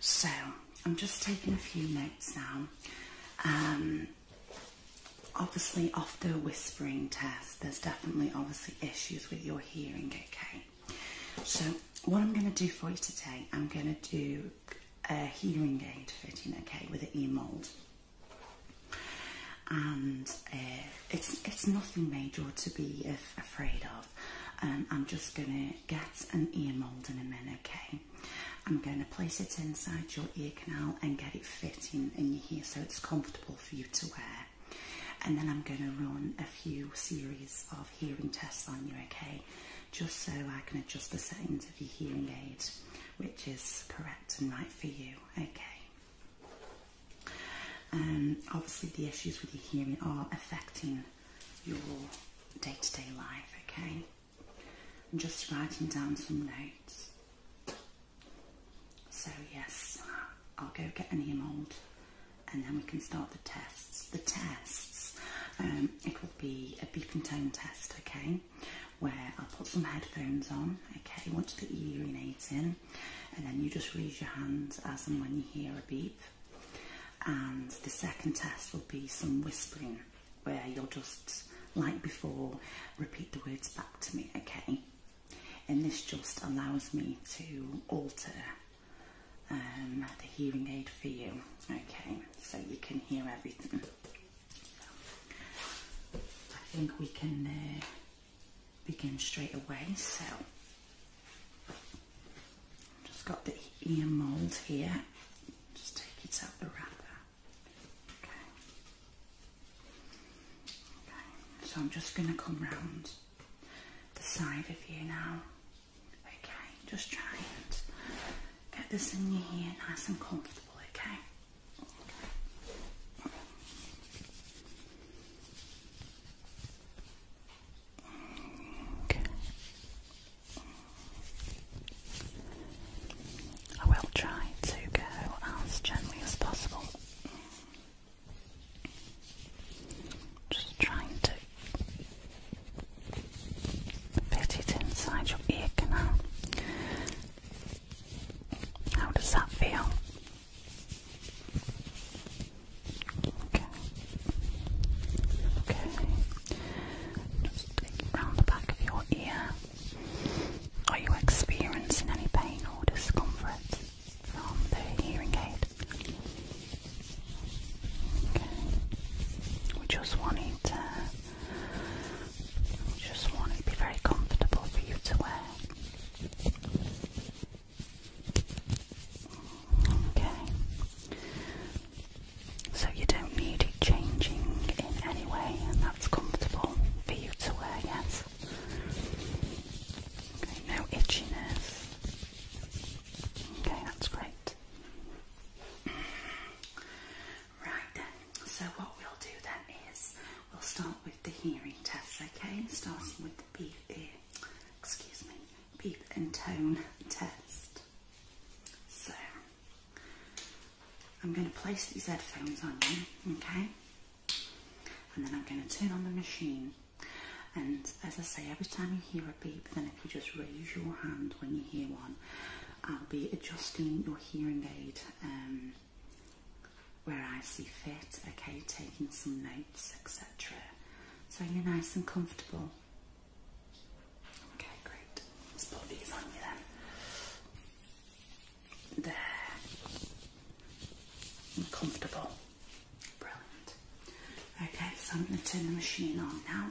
So I'm just taking a few notes now. Um, obviously, off the whispering test, there's definitely obviously issues with your hearing. Okay. So what I'm going to do for you today, I'm going to do a hearing aid fitting. Okay, with an ear mold. And uh, it's it's nothing major to be afraid of love. I'm just going to get an ear mould in a minute, okay? I'm going to place it inside your ear canal and get it fitting in your ear so it's comfortable for you to wear. And then I'm going to run a few series of hearing tests on you, okay? Just so I can adjust the settings of your hearing aid, which is correct and right for you, okay? Um, obviously, the issues with your hearing are affecting your day to day life, okay? I'm just writing down some notes. So, yes, I'll go get an ear mold, and then we can start the tests. The tests, um, it will be a beep and tone test, okay? Where I'll put some headphones on, okay? You want to Watch the urinating, and then you just raise your hand as and when you hear a beep. And the second test will be some whispering where you'll just, like before, repeat the words back to me, okay? And this just allows me to alter um, the hearing aid for you, okay? So you can hear everything. I think we can uh, begin straight away. So just got the ear mould here. Just take it out the wrapper. Okay. Okay. So I'm just going to come round the side of you now. Okay. Just try and get this in your ear nice and comfortable. Okay. Okay. I will try to go as gently as possible. Just trying to fit it inside your ear canal. How does that feel? Okay. Okay. Just take round the back of your ear. Are you experiencing any pain or discomfort from the hearing aid? Okay. We just wanted. to we just want to be very comfortable for you to wear. Okay so you don't need it changing in any way, and that's comfortable for you to wear, yes. no itchiness. Okay, that's great. Right then, so what we'll do then is we'll start with the hearing test, okay? Starting with the beef ear. Excuse me. Beep and tone test. So I'm going to place these headphones on you, okay? And then I'm going to turn on the machine. And as I say, every time you hear a beep, then if you just raise your hand when you hear one, I'll be adjusting your hearing aid um, where I see fit, okay, taking some notes, etc. So you're nice and comfortable. Okay, great. Let's put these on you then. There. And comfortable. Brilliant. Okay, so I'm going to turn the machine on now.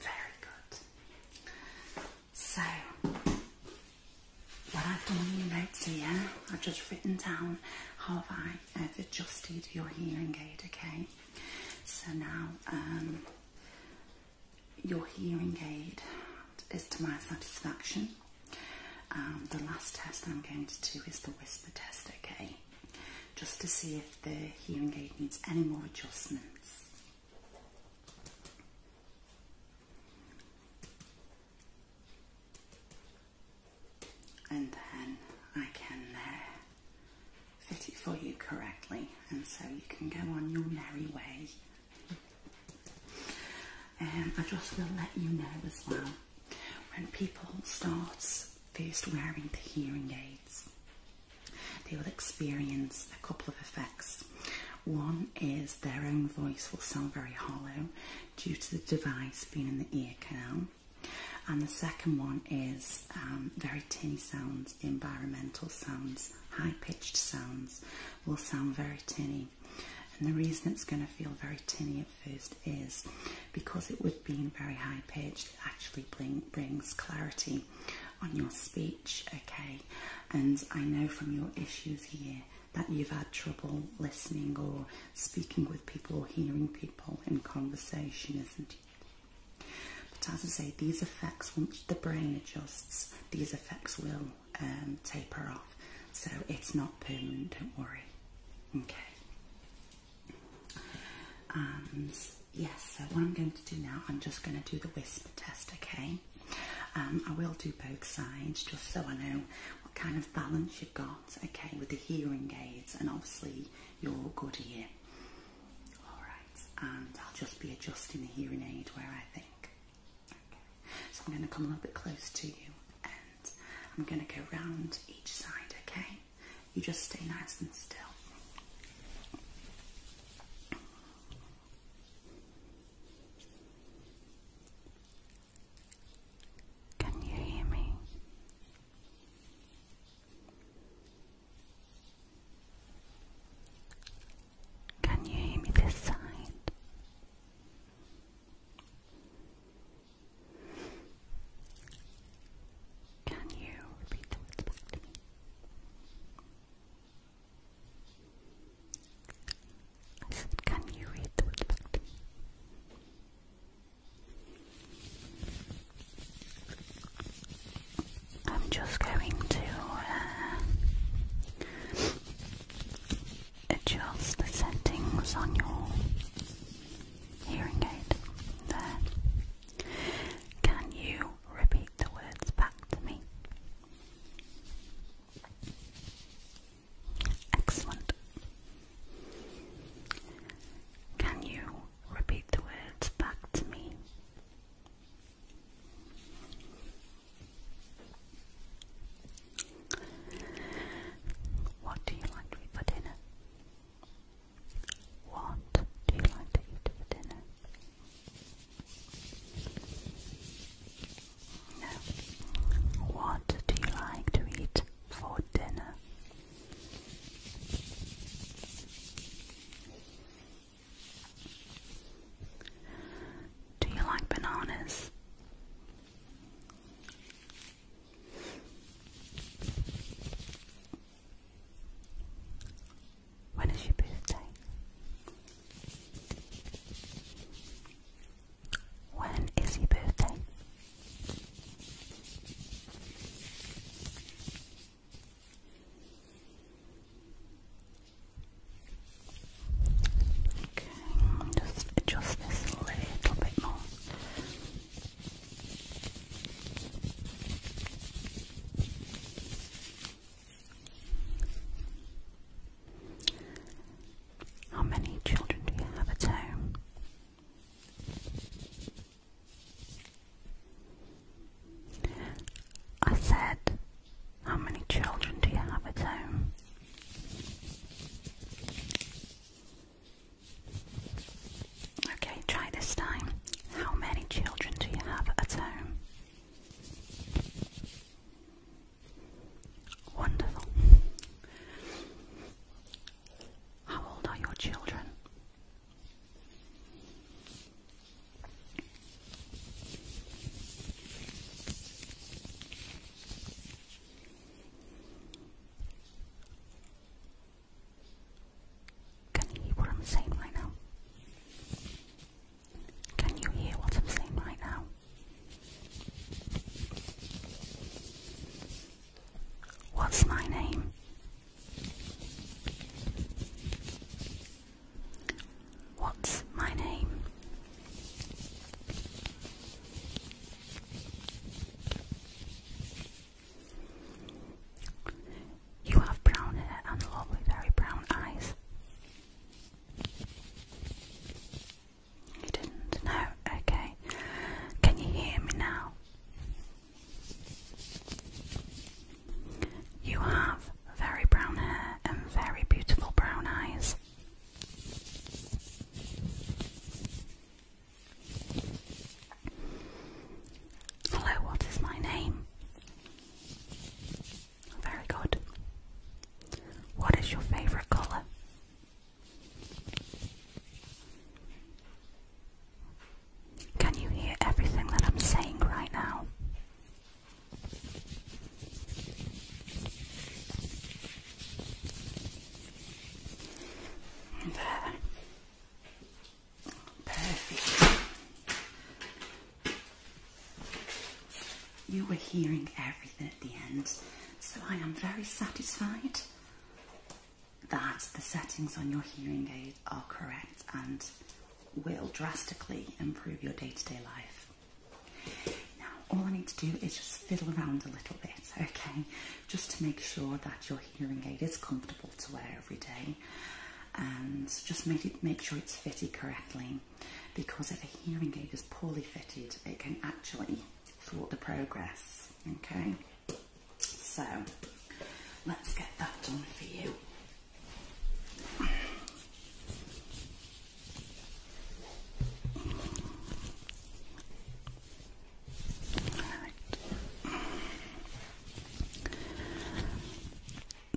Very good. So, what I've done on your notes here, I've just written down how have I have adjusted your hearing aid, okay? So now, um, your hearing aid is to my satisfaction. Um, the last test I'm going to do is the whisper test, okay? Just to see if the hearing aid needs any more adjustments. And then I can uh, fit it for you correctly, and so you can go on your merry way. And I just will let you know as well when people starts first wearing the hearing aids, they will experience a couple of effects. One is their own voice will sound very hollow due to the device being in the ear canal. And the second one is um, very tinny sounds, environmental sounds, high pitched sounds will sound very tinny and the reason it's going to feel very tinny at first is because it would be in very high pitch. it actually brings clarity on your speech, okay? And I know from your issues here that you've had trouble listening or speaking with people or hearing people in conversation, isn't it? But as I say, these effects, once the brain adjusts, these effects will um, taper off. So it's not permanent, don't worry. Okay. And um, yes, so what I'm going to do now, I'm just going to do the whisper test, okay? Um, I will do both sides just so I know what kind of balance you've got, okay, with the hearing aids and obviously your good ear. Alright, and I'll just be adjusting the hearing aid where I think. Okay. So I'm going to come a little bit close to you and I'm going to go round each side, okay? You just stay nice and still. Can you hear me? Can you hear me this side? Can you repeat the words back to me? I said, can you read the words back to me? I'm just going to uh, adjust the settings on your hearing aid. There. Can you repeat the words back to me? Excellent. Can you repeat the words back to me? What do you like to eat for dinner? What do you like to eat for dinner? No. What do you like to eat for dinner? Do you like bananas? When is your birthday? When is your birthday? Okay, just adjust this a little bit more. How many children do you have at home? I said how many children do you have at home? Okay, try this time. How many children do you have at home? Wonderful. How old are your children? Can you hear what I'm saying right now? Can you hear what I'm saying right now? What's my name? What's my name? You have brown hair and lovely, very brown eyes. You didn't? No? Okay. Can you hear me now? You have very brown hair and very beautiful brown eyes. Hello, what is my name? Very good. What is your favourite colour? Can you hear everything that I'm saying right now? There. Perfect. You were hearing everything at the end, so I am very satisfied that the settings on your hearing aid are correct and will drastically improve your day to day life. Now, all I need to do is just fiddle around a little bit, okay, just to make sure that your hearing aid is comfortable to wear every day, and just make it make sure it's fitted correctly, because if a hearing aid is poorly fitted, it can actually thwart the progress. Okay, so let's get that done for you.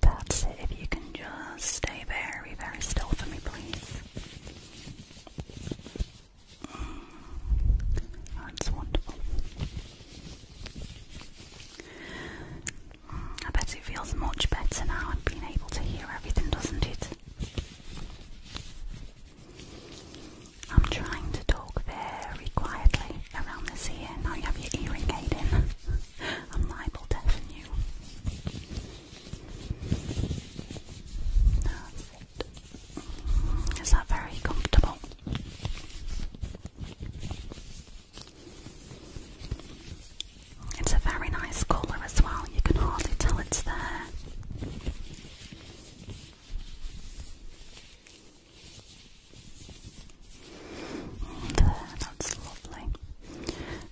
That's it. If you can just stay very, very still for me, please. That's wonderful. I bet it feels much better now, and being able to hear everything, doesn't it? I'm trying to talk very quietly around this ear. Now you have your earring aid in. I'm liable deafen you. That's that very comfortable? It's a very nice colour as well, you can hardly tell it's there. There, that's lovely.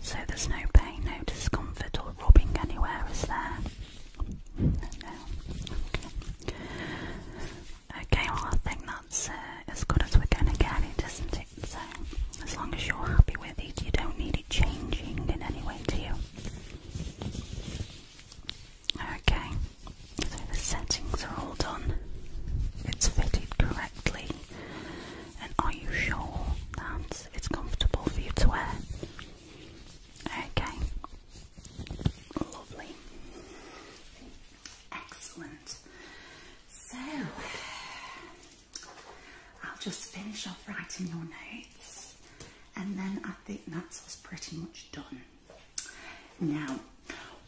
So there's no pain, no discomfort or rubbing anywhere, is there? Okay. Okay, well I think that's uh, as good as we're going to get it, isn't so, as long as you're happy with it, you don't need it changing in any way, do you? Okay, so the settings are all done. It's fitted correctly. And are you sure that it's comfortable for you to wear? Okay. Lovely. Excellent. So, I'll just finish off writing your notes and then I think that's us pretty much done. Now,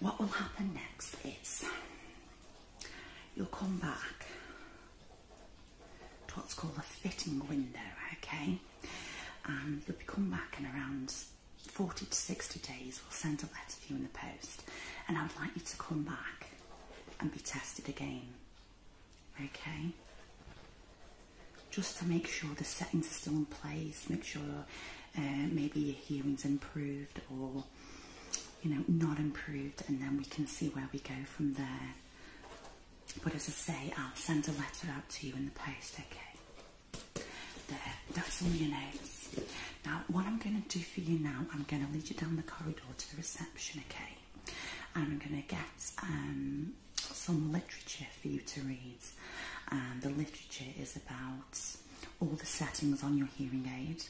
what will happen next is you'll come back to what's called a fitting window, okay? And um, you'll come back in around 40 to 60 days, we'll send a letter to you in the post and I would like you to come back and be tested again okay just to make sure the settings are still in place make sure uh, maybe your hearing's improved or you know not improved and then we can see where we go from there but as I say I'll send a letter out to you in the post okay there that's all your notes now what I'm going to do for you now I'm going to lead you down the corridor to the reception okay I'm going to get um, some literature for you to read. And the literature is about all the settings on your hearing aid.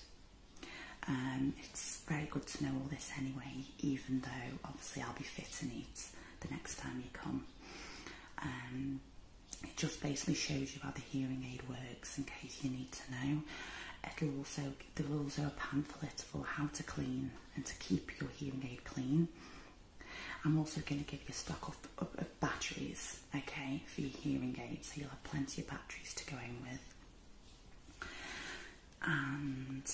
Um, it's very good to know all this anyway, even though obviously I'll be fitting it the next time you come. Um, it just basically shows you how the hearing aid works in case you need to know. It'll also like the rules are a pamphlet for how to clean and to keep your hearing aid clean. I'm also going to give you stock of, of batteries, okay, for your hearing aid, so you'll have plenty of batteries to go in with. And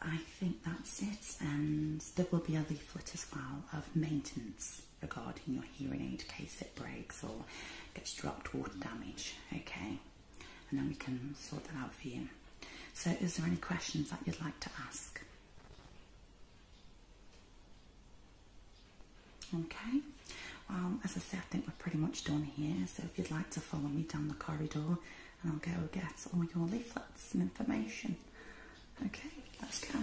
I think that's it, and there will be a leaflet as well of maintenance regarding your hearing aid case it breaks or gets dropped water damage, okay and then we can sort that out for you. So is there any questions that you'd like to ask? Okay, as I said, I think we're pretty much done here. So if you'd like to follow me down the corridor and I'll go get all your leaflets and information. Okay, let's go.